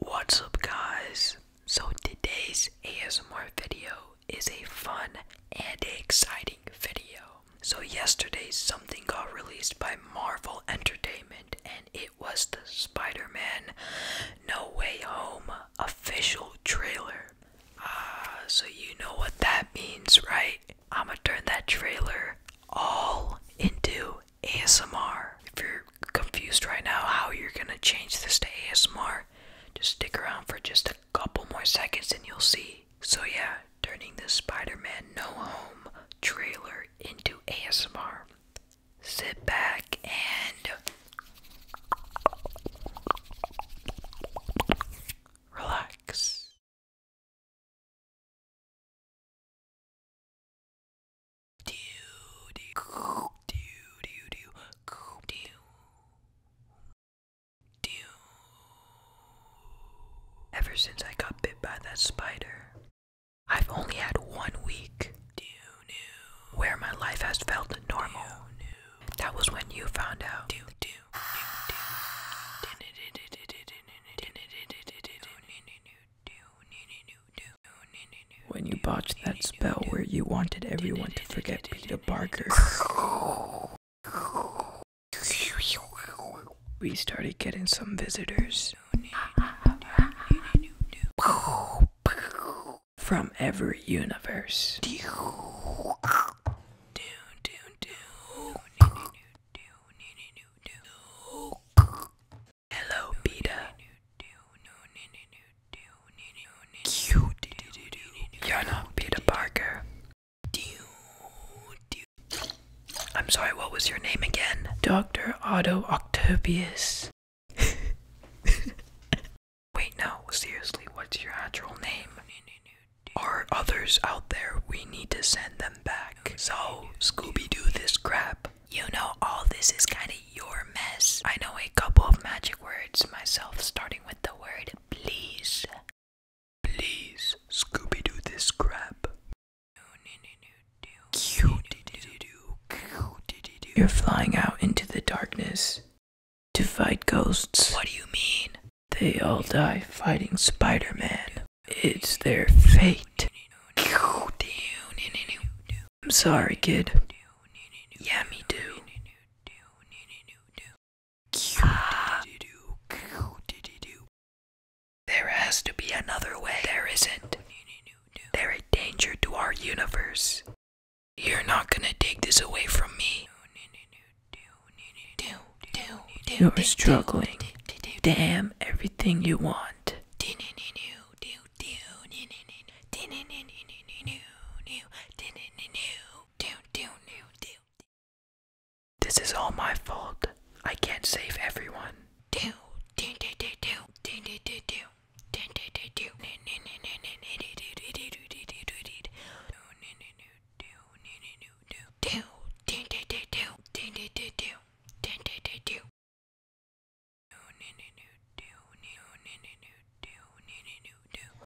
What's up, guys? So, today's ASMR video is a fun and exciting video. So, yesterday, something got released by Marvel Entertainment, and it was the Spider Man No Way Home official trailer. Ah, so you know what that means, right? I'ma turn that trailer all into ASMR. If you're confused right now how you're gonna change this to ASMR, just stick around for just a couple more seconds and you'll see. So, yeah, turning the Spider Man No Home trailer into ASMR sit back and relax. Do do do do do do do. Ever since I got bit by that spider, I've only had one week where my life has felt normal. That was when you found out. When you botched that spell where you wanted everyone to forget Peter Parker. we started getting some visitors from every universe. Hello, Beta. You're not Peter Parker. I'm sorry, what was your name again? Dr. Otto Octavius. Wait, no, seriously, what's your actual name? Are others out there? We need to send them back. So, Scooby Doo this crap. You know, all this is kinda your mess. I know a couple of magic words myself, starting with the word please. Please, Scooby Doo this crap. You're flying out into the darkness to fight ghosts. What do you mean? They all die fighting Spider Man. It's their fate. I'm sorry, kid. Yeah, me too. There has to be another way. There isn't. They're a danger to our universe. You're not gonna take this away from me. You're struggling. Damn everything you want. This is all my fault. I can't save everyone.